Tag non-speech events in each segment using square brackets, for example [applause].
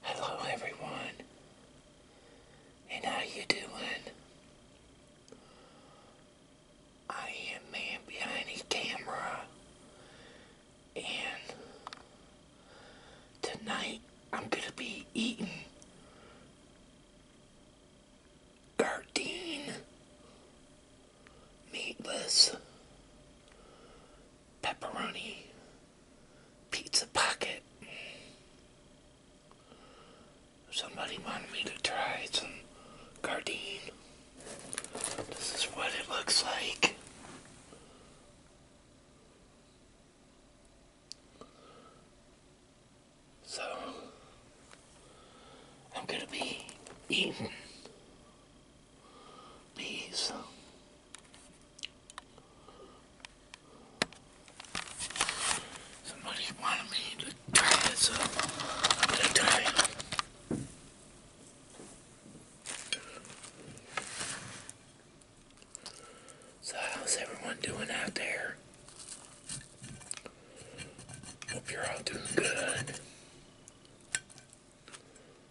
Hello everyone, and how you doing? I am man behind the camera, and tonight I'm gonna be eating Gardein meatless pepperoni pizza pocket. Somebody wanted me to try some Gardein. This is what it looks like. So, I'm going to be eating these. Somebody wanted me to tie this to tie So how's everyone doing out there? Hope you're all doing good.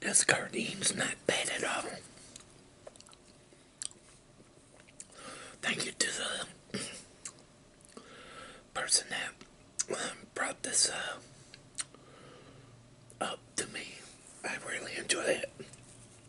This gardine's not bad at all. Thank you to the [clears throat] person that um, brought this uh, up to me. I really enjoy it.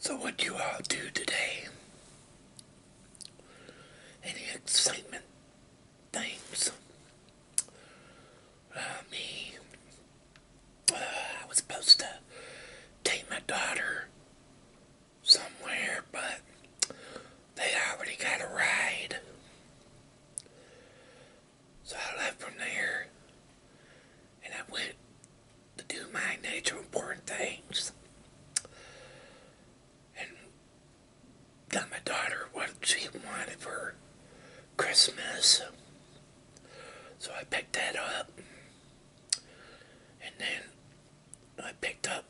So what do you all do today? Any excitement things? Uh, me, I was supposed to take my daughter somewhere, but they already got a ride. So I left from there and I went to do my nature important things and got my daughter what she wanted for Christmas. So I picked that up. And then I picked up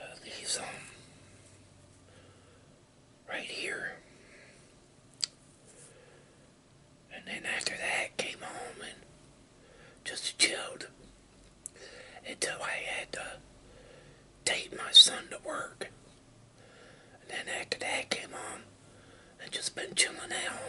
uh, these um, right here. And then after that, came home and just chilled until I had to take my son to work. And then after that, came home and just been chilling at home.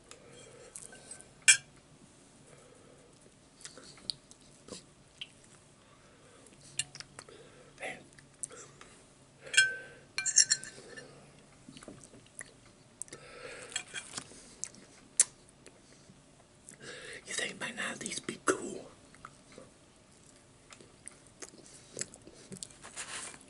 You think my now these be cool?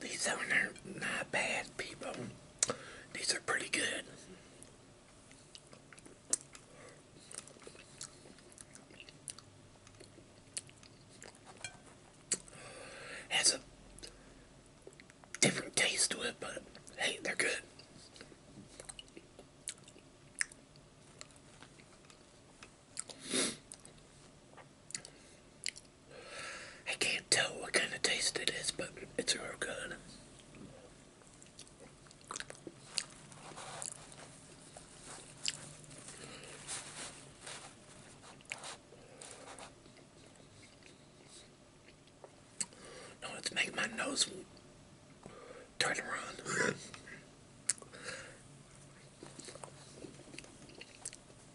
these are not bad, people. These are pretty good. Has a different taste to it, but hey, they're good. I can't tell what kind of taste it is, but it's real good. No, it's making my nose turn around.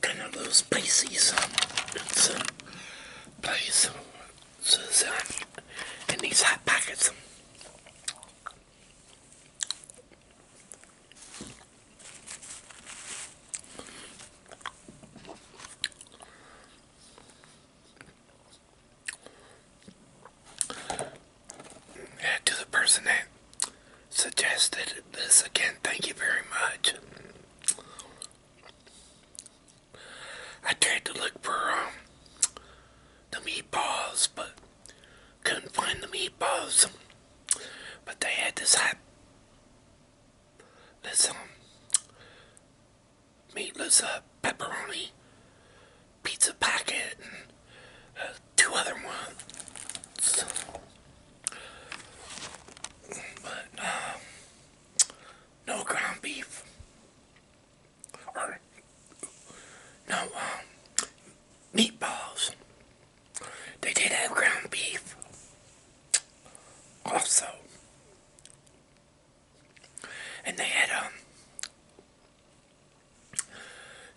Kind of a little spicy, so it's a place these hot pockets to the person that suggested this again, thank you very much. I tried to look for um, the meatballs, but couldn't find the meatballs. But they had this hot this um, meatless uh, pepperoni pizza packet and uh, two other ones. But uh, no ground beef or no um, meatballs. They did have ground beef also. And they had um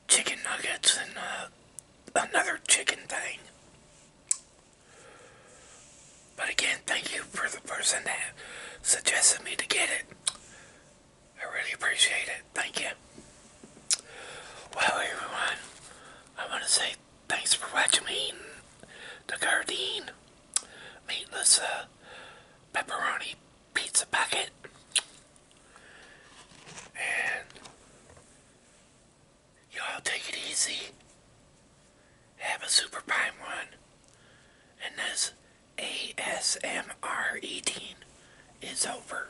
chicken nuggets and uh, another chicken thing. But again, thank you for the person that suggested me to get it. I really appreciate it. Thank you. Well, everyone, I want to say thanks for watching me the Gardein meatless uh, pepperoni pizza packet and y'all take it easy have a super prime one and this ASMR eating is over